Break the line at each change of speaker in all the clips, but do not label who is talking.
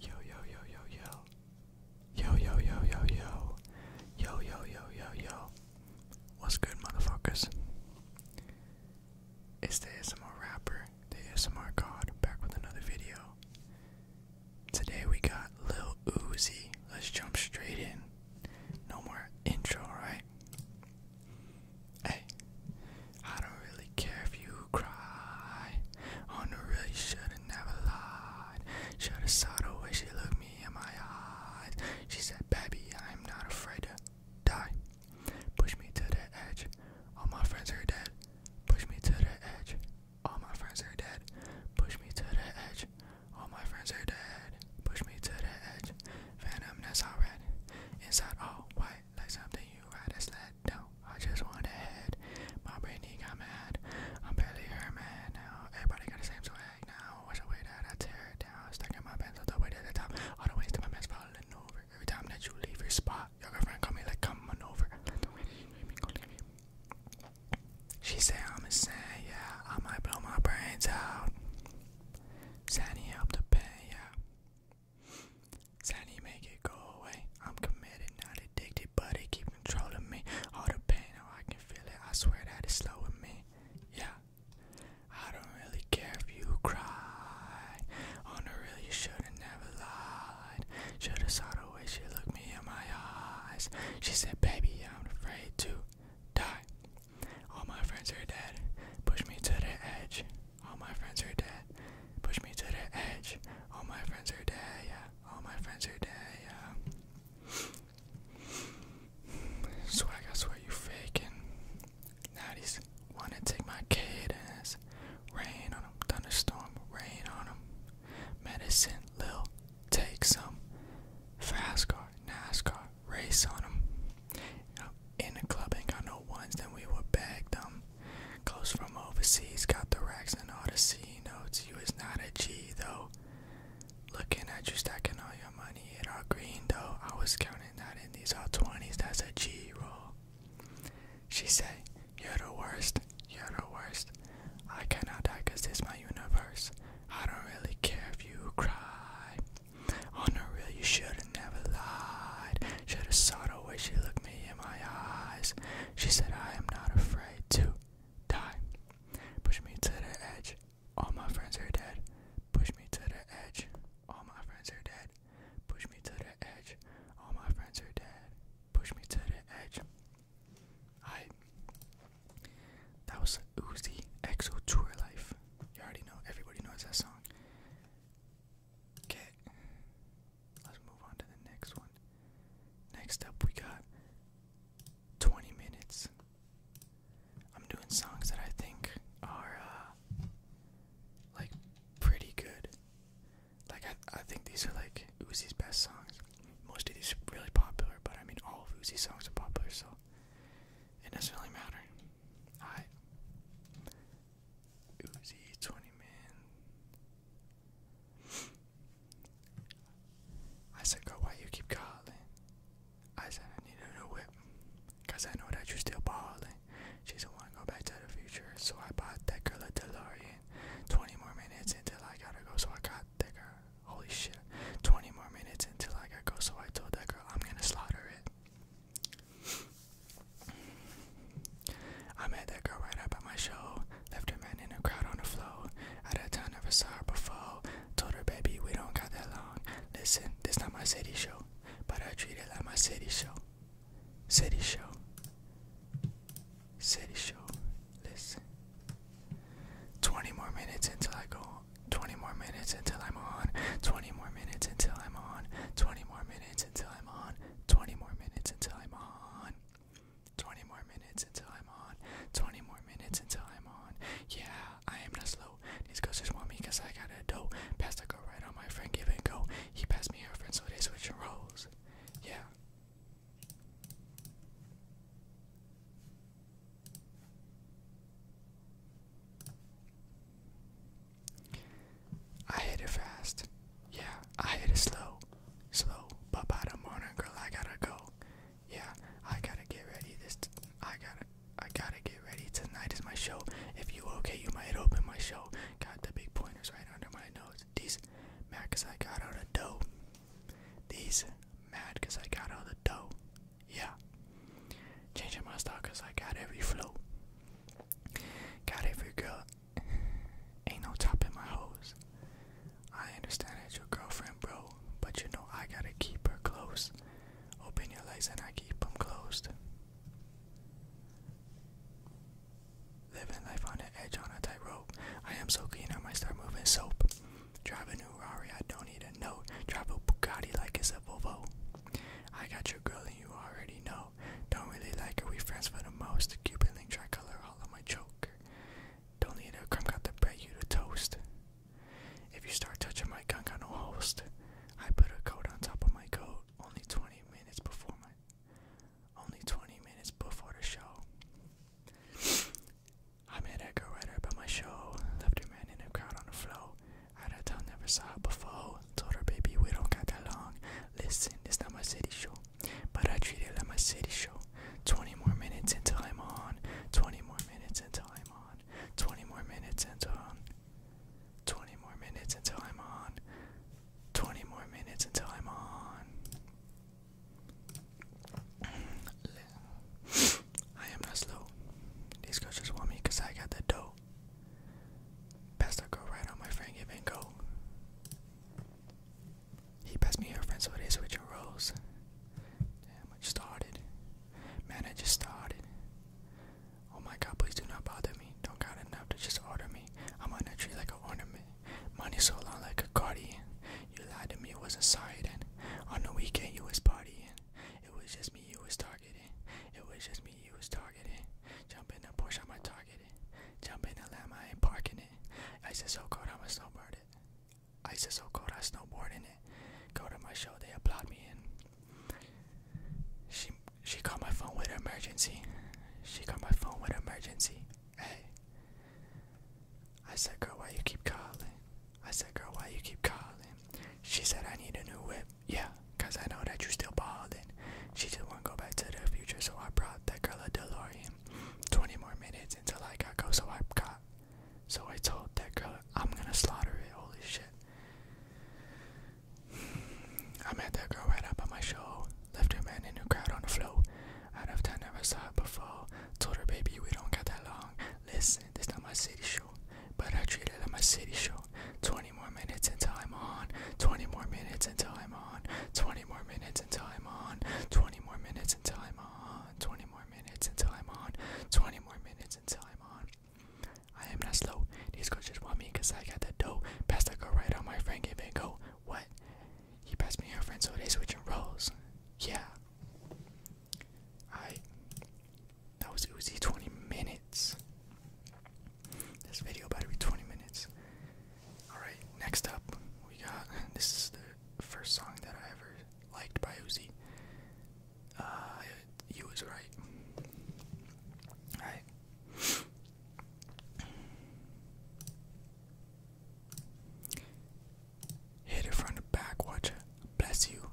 Yo yo yo yo yo. Yo yo yo yo yo. Yo yo yo yo yo. What's good, motherfuckers? It's the ASMR rapper, the ASMR god, back with another video. Today we got Lil Uzi. Let's jump straight in. No more intro, alright? Hey, I don't really care if you cry. On the real, you should've never lied. Should've saw the way she looked me in my eyes. She said, Baby, I'm not afraid to die. Push me to the edge. All my friends are dead. Push me to the edge. All my friends are dead. Push me to the edge. All my friends are dead. Push me to the edge. Venom that's all red. Inside all white like something you ride a No, I just want a head. My brainy got mad. I'm barely her man now. Everybody got the same swag now. What's the way that I tear it down? Stuck in my pants all the way to the top. All the ways to my mess falling over. Every time that you leave your spot, your girlfriend call me like come on over. She say I'm a insane, yeah. I might blow my brains out. Sandy helped the pain, yeah. Sandy, make it go away. I'm committed, not addicted, but it keep controlling me. All the pain, oh, I can feel it. I swear that it's slowing me. Yeah. I don't really care if you cry. On the real, you should've never lied. Should've saw the way she looked me in my eyes. She said, baby, I'm afraid to die. All my friends are dead. Push me to the edge. All my friends are dead. Push me to the edge. All my friends are dead. Yeah. All my friends are dead. Yeah. Swag, I swear you faking. Now these wanna take my kid ass. Rain on him. Thunderstorm. Rain on him. Medicine. Lil. Take some. Fast car. NASCAR. Race on him. In the club ain't got no ones, then we would bag them. Close from overseas, got the racks and all the C notes. You was not a G though. Looking at you stacking all your money, in all green though. I was counting that in these all 20s, that's a G roll. She say, You're the worst, you're the worst. I cannot die cause this my universe. I don't really care if you cry. On the real, you should've never lied. Should've saw the way she looked me in my eyes. She said, I am not afraid to die. Push me to the edge. All my friends are dead. Push me to the edge. All my friends are dead. Push me to the edge. All my friends are dead. Push me to the edge. I. That was Uzi Exo Tour Life. You already know. Everybody knows that song. Okay. Let's move on to the next one. Next up, we got 20 minutes. I'm doing songs that I think are uh, like pretty good. Like I, I think these are like Uzi's best songs. Most of these are really popular, but I mean all of Uzi's songs are popular, so it doesn't really matter. I Uzi, 20 man. I said, girl, why you keep calling? I said, I need a new whip. I know that you still ballin'. She doesn't wanna go back to the future. So I bought that girl a DeLorean. 20 more minutes until I gotta go. So I got that girl. Holy shit. 20 more minutes until I gotta go. So I told that girl, I'm gonna slaughter it. I met that girl right up at my show. Left her man in a crowd on the floor. Out of town, never saw her before. Told her, baby, we don't got that long. Listen, this not my city show, but I treat it like my city show. City show. City show. Listen. 20 more minutes until I go. 20 more minutes until I'm on. 20 more minutes until I'm on. 20 more minutes until I'm on. 20 more minutes until I'm on. 20 more minutes until I'm on. 20 more minutes until I'm on. Yeah, I am not slow. These girls just want me cause I got a dough. Passed a girl right on my friend, give and go. He passed me her friend, so they switching roles. Yeah. I hit it fast. Yeah, I hit it slow. Slow. But by the morning, girl, I gotta go. Yeah, I gotta get ready. This, t I gotta, I gotta get ready. Tonight is my show. If you okay, you might open my show. Got the big pointers right under my nose. These mad I got out of dough. These mad cause I got all the dough. Yeah. Changing my style cause I got every flow. Got every girl. Ain't no top in my hose. I understand that your girlfriend, bro, but you know I gotta keep her close. Open your legs and I keep them closed. Living life on the edge on a tightrope. I am so keen, I might start moving soap. Drive a new Rari, I don't need a note. Drive a Bugatti like it's a Volvo. I got your girl and you already know. Don't really like her, we friends for the most. Cupid link tricolor all on my choker. Don't need a crumb, got the bread, you to toast. If you start touching my gun, got no host. I put a coat on top of my coat. Only 20 minutes before my. Only 20 minutes before the show. I met that girl right up at my show. Left her man in the crowd on the flow. Arata never saw it before. Told her, baby, we don't got that long. Listen, it's not my city show, but I treat it like my city show. 20 more minutes until I'm on. 20 more minutes until I'm on. 20 more minutes until I'm on. 20 more minutes until I'm on. 20 more minutes until I'm on. I am not slow. These girls just want me because I got the dough. Passed that girl right on my friend giving go. He passed me her friend so they switching roles. Damn, I just started. Man, I just started. Oh my god, please do not bother me. Don't got enough to just order me. I'm on a tree like an ornament. Money so long like a guardian. You lied to me, wasn't sorry then. On the weekend you was partying. It was just me you was targeting. It was just me you was targeted. Jump in the Porsche, I'ma target Jump in the lamb, I ain't parking it. I said, so cold, I'ma snowboard it. I said, so cold, I snowboard in it. Go to my show, they applaud me and she she called my phone with emergency. She called my phone with emergency. Hey. I said, girl, why you keep calling? I said, girl, why you keep calling? She said, I need a new whip yeah, cause I know that you still bald she just won't go back to the future. So I brought that girl a DeLorean. 20 more minutes until I got go. So I got. So I told that girl I'm gonna slaughter it. Holy shit. I met that girl right up on my show. Left her man in the crowd on the floor. Out of town, never saw it before. Told her, baby, we don't got that long. Listen, this not my city show show, but I treat it like my city show. 20 more minutes until I'm on. 20 more minutes until I'm on. 20 more minutes until I'm on. 20 more minutes until I'm on. 20 more minutes until I'm on. 20 more minutes until I'm on. I am not slow. These girls just want me cause I got the dough. Pass that girl right on my friend, give it go. What? He passed me her friend, so they switching roles. Yeah. I that was Uzi 20 minutes. This video about to be 20 minutes. Alright, next up, we got this is the first song that I ever liked by Uzi. Uh, you was right. Alright. Hit it from the back, watch bless you.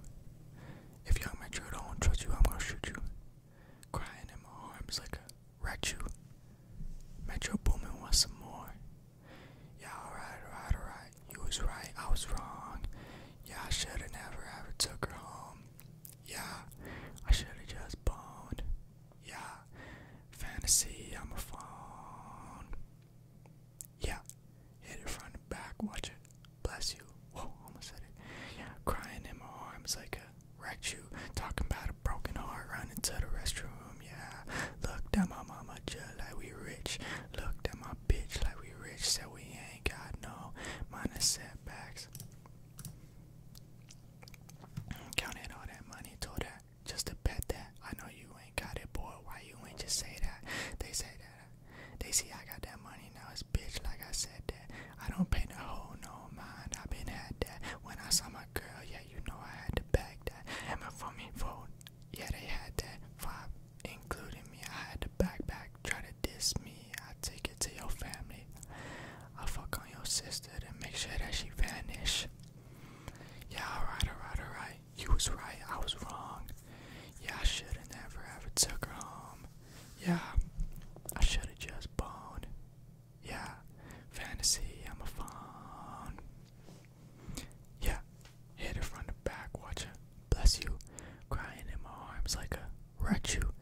If you young Metro don't trust you, I'm gonna shoot you. Crying in my arms like a rat you. Metro Boomin wants some more. Yeah, alright, alright, alright. You was right, I was wrong. Yeah, I shoulda never ever took her home. Yeah, I shoulda just boned. Yeah, fantasy, I'm phone. Yeah, hit it from the back, watch it Bless you. Whoa, almost said it. crying in my arms like wrecked you. Talking about a broken heart, running to the restroom. Yeah, looked at my mama just like we rich. Looked at my bitch like we rich. Said we ain't got no minor setbacks. Counted all that money, told that just to bet that I know you ain't got it, boy. Why you ain't just say that? They say that they see I got that money now, it's bitch like I said that. I don't pay no whole no mind, I been had that. When I saw my girl, yeah, you know I had to bag that. And my for me vote, yeah, they had that vibe, including me. I had to back back, try to diss me. I take it to your family. I fuck on your sister to make sure that she vanish. Yeah, alright, alright, alright. You was right, I was wrong. Yeah, I should've never ever took her home. Yeah, I should've just boned. Yeah, fantasy, I'm a fawn. Yeah, hit it from the back, watcher. Bless you, crying in my arms like a wretch you.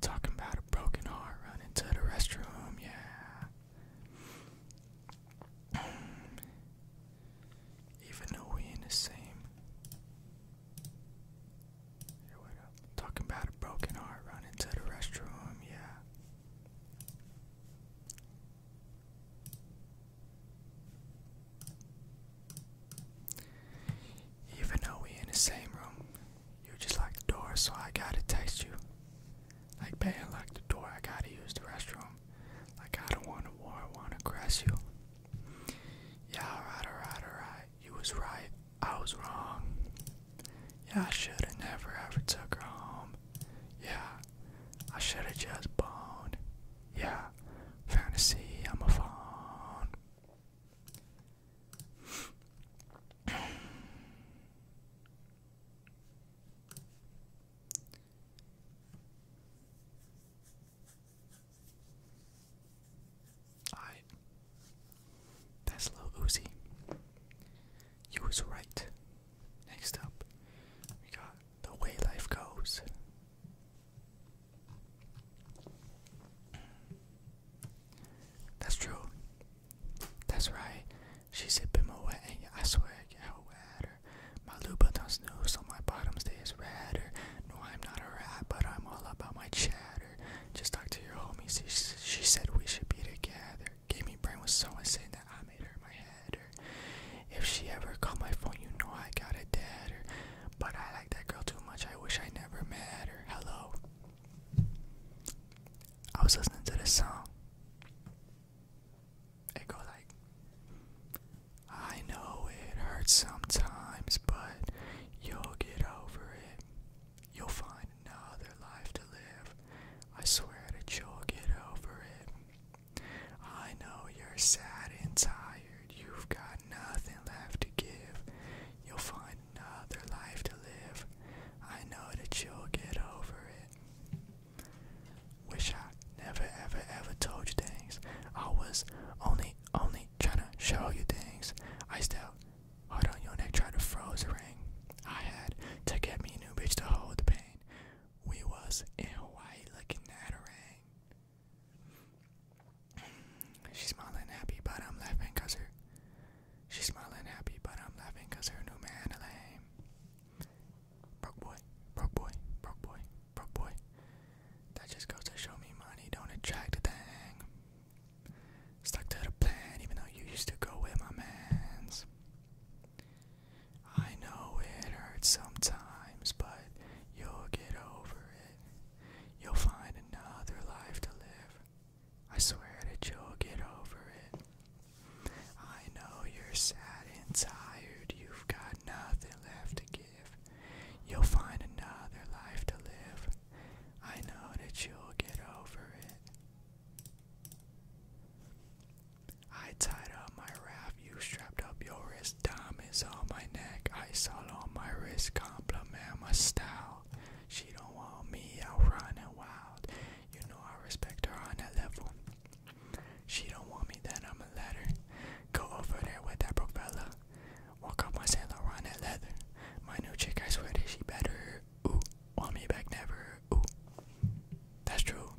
Talking about a broken heart, running to the restroom, yeah. Even though we in the same here we Talking about a broken heart running to the restroom, yeah. Even though we in the same room, you just like the door, so I gotta text you. Like man, like the door, I gotta use the restroom. Like I don't wanna war, I wanna caress you. Yeah, alright, alright, alright. You was right. I was wrong. Yeah, I shoulda never ever took her home. Yeah, I shoulda just boned. Yeah, fantasy, I'm a phone. Alright. That's Lil Uzi. You was right. Next up, we got The Way Life Goes. That's true. That's right. She a bit more wet, I swear I get her my Louboutin's new, so my bottom stays Or, No, I'm not a rat, but I'm all about my chatter. Just talk to your homies, she, she said we should be together. Gave brain was so insane that I made her my header. If she ever called my phone, you know I got a deader. But I like that girl too much, I wish I never met her. Hello. I was listening to this song. It goes like I know it hurts sometimes, but you'll get over it. You'll find another life to live. I swear that you'll get over it. I know you're sad and tired. You've got nothing left to give. You'll find another life to live. I know that you'll get over it. Wish I never, ever, ever told you things. I was only me only trying to show you things. I still hold on your neck, try to froze a ring. I had to get me a new bitch to hold the pain. We was in Hawaii looking at a ring. She's smiling happy, but I'm laughing cause her. She's smiling happy, but I'm laughing cause her new man a lame. Broke boy, broke boy, broke boy, Bro boy. That just goes to show me money don't attract a thing. Stuck to the plan even though you used to go with my mans. I know it hurts sometimes, but you'll get over it. You'll find another life to live. I swear that you'll get over it. I know you're sad and tired. You've got nothing left to give. You'll find another life to live. I know that you'll get over it. I tied up my wrap, you strapped up your wrist. Dime is on my neck, ice all on my wrist. Compliment my style. She don't want me out running wild. You know I respect her on that level. She don't want me, then I'ma let her. Go over there with that broke fella. Walk up my Saint Laurent and leather. My new chick, I swear that she better. Ooh, want me back never. Ooh, that's true.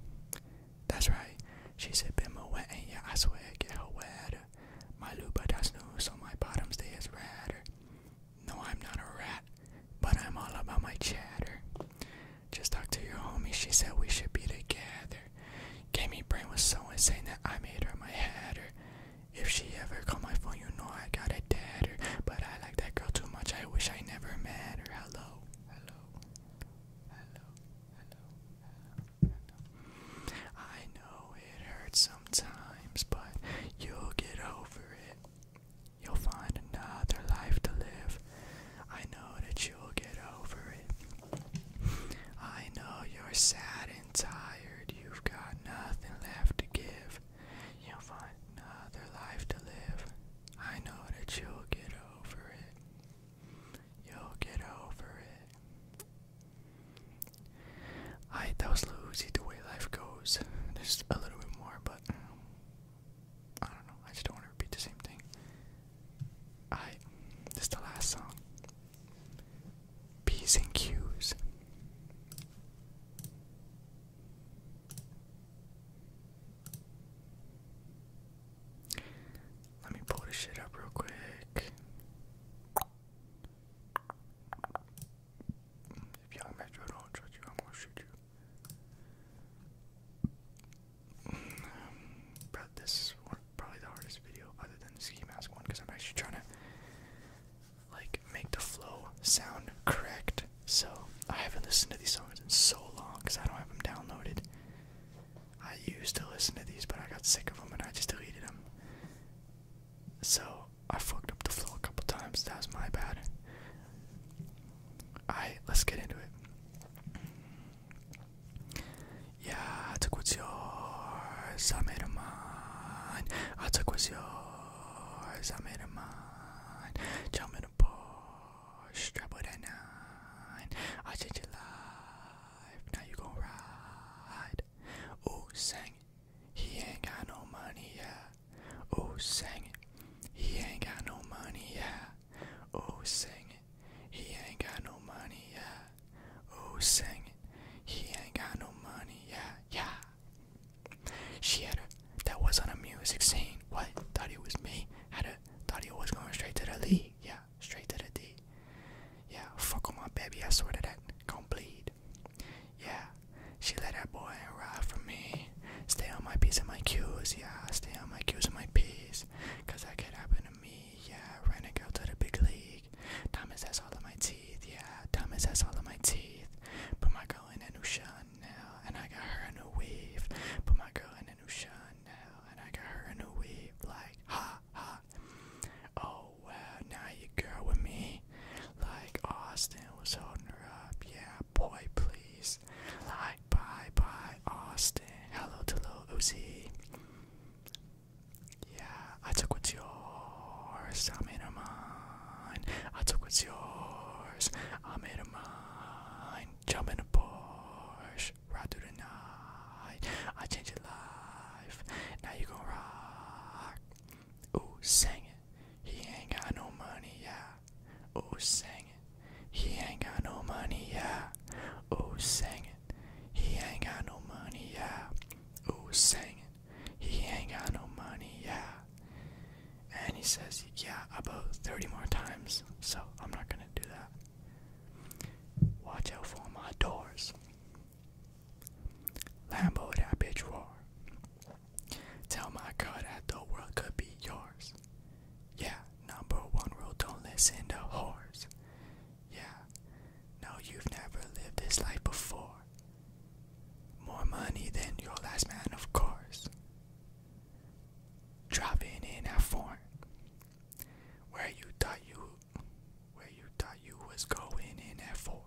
That's right. She said, Bimbo wet, and yeah, I swear, get her wet. My lupa that's new, so my bottom stay is redder. No, I'm not a rat, but I'm all about my chatter. Just talk to your homie, she said we should be together either. Gaming brain was so insane that I made her my head, if she ever called my phone, you know I got a dead, but I like that girl too much, I wish I never met her. Hello, hello, hello, hello, hello. I know it hurts sometimes, but you'll get over it. You'll find another life to live. I know that you'll get over it. I know you're sad and tired. You've got nothing left to give. You'll find another life to live. I know that you'll get over it. You'll get over it. Alright, that was Lucy, the way life goes. There's a little bit more, but um, I don't know. I just don't want to repeat the same thing. Alright, this is the last song. P's and Q's. Let me pull this shit up real quick. If young Metro don't trust I'm gonna shoot you this is one, probably the hardest video other than the ski mask one because I'm actually trying to like make the flow sound correct. So I haven't listened to these songs in so long because I don't have them downloaded. I used to listen to these, but I got sick of them and I just deleted them. So I fucked up the flow a couple times. That was my bad. Alright, let's get into it. Yeah, I took what's yours, I made a mine. I took what's yours, I made a mine. Jump in a Porsche, strap with a nine. I changed your life, now you gon' ride. Ooh, sang it, he ain't got no money, yeah. Ooh, sang it, he ain't got no money, yeah. Oh, sing it. He ain't got no money, yeah. Oh, sing it. He ain't got no money, yeah, yeah. She had a. That was not a music scene. What? Thought it was me. Had a. Thought he was going straight to the league. Yeah, straight to the D. Yeah, fuck on my baby. I swear to that. Gon' bleed. Yeah, she let that boy ride for me. Stay on my piece and my Q's. Yeah, stay on my Q's and my P's. Cause that could happen me, yeah. Renegade go to the big league. Thomas has all of my teeth, yeah. Thomas has all of my teeth. Put my girl in a new now, and I got her a new weave. Put my girl in a new Chanel, and I got her a new weave. Like, ha ha. Oh well, now you girl with me. Like Austin was holding her up, yeah. Boy, please. Bye, bye, bye, Austin. Hello to Lil Uzi. Yeah, I took what's yours. I made a mine. I took what's yours. I made a mine. Jump in a Porsche. Ride through the night. I changed your life. Now you gon' rock. Ooh, sing it. He ain't got no money, yeah. Ooh, sing he ain't got no money, yeah. Oh, sing it, he ain't got no money, yeah. Oh, sing it, he ain't got no money, yeah. And he says, yeah, about 30 more times, so I'm not gonna do that. Watch out for my doors. Lambo that bitch roar. Tell my car that the world could be yours. Yeah, number one rule don't listen to whores. Yeah, no, you've never lived this life before. More money than your last man, of course. Dropping in at foreign. Where you thought you where you thought you was going in at Ford.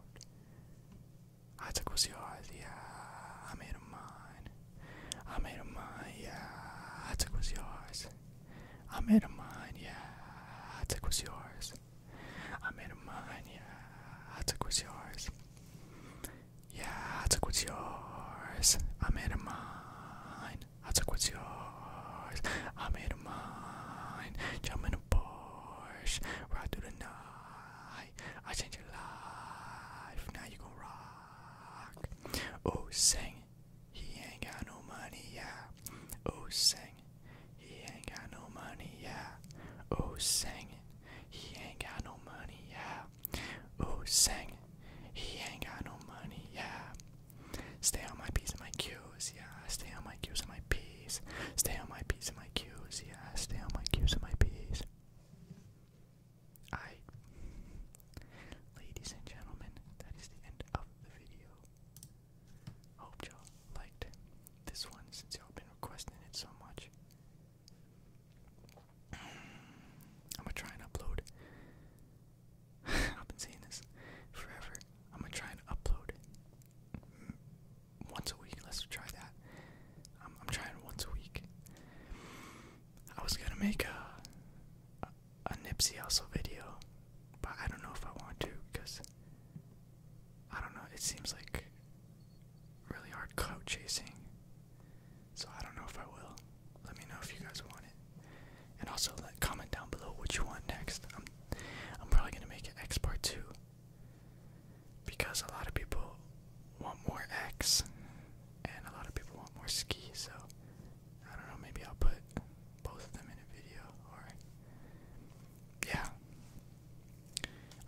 I took what's yours, yeah, I made a mine. I made a mind, yeah, I took what's yours. I made a mind, yeah, I took what's yours. I made a mind, yeah, I took what's yours. Yeah, I took what's yours. I made a mind, I took what's yours. I made a mind, jump in a Porsche, ride through the night. I changed your life, now you gon' rock. Oh, sing sing, he ain't got no money, yeah. Oh, sing, he ain't got no money, yeah. Oh, sing, he ain't got no money, yeah. Oh, sing, he ain't got no money, yeah. Stay on my P's and my Q's, yeah. Stay on my Q's and my P's. Stay on my P's and my Q's, yeah. Stay on my Q's and my P's. I. Ladies and gentlemen, that is the end of the video. Hope y'all liked this one since y'all been requesting it so much. I'm gonna try and upload. I've been saying this forever. I'm gonna try and upload once a week. Let's try that. I'm, trying once a week. I was gonna make a, a Nipsey Hussle video, but I don't know if I want to because I don't know. It seems like really hard coat chasing, so I don't know if I will. Let me know if you guys want it, and also let comment down below what you want next. I'm I'm probably gonna make an X part two because a lot of people want more X, and a lot of people want more ski, so I don't know, maybe I'll put both of them in a video, or, yeah,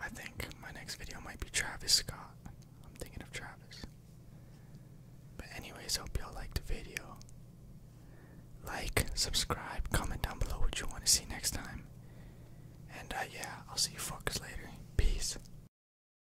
I think my next video might be Travis Scott, I'm thinking of Travis, but anyways, hope y'all liked the video, like, subscribe, comment down below what you want to see next time, and, uh, yeah, I'll see you folks later, peace.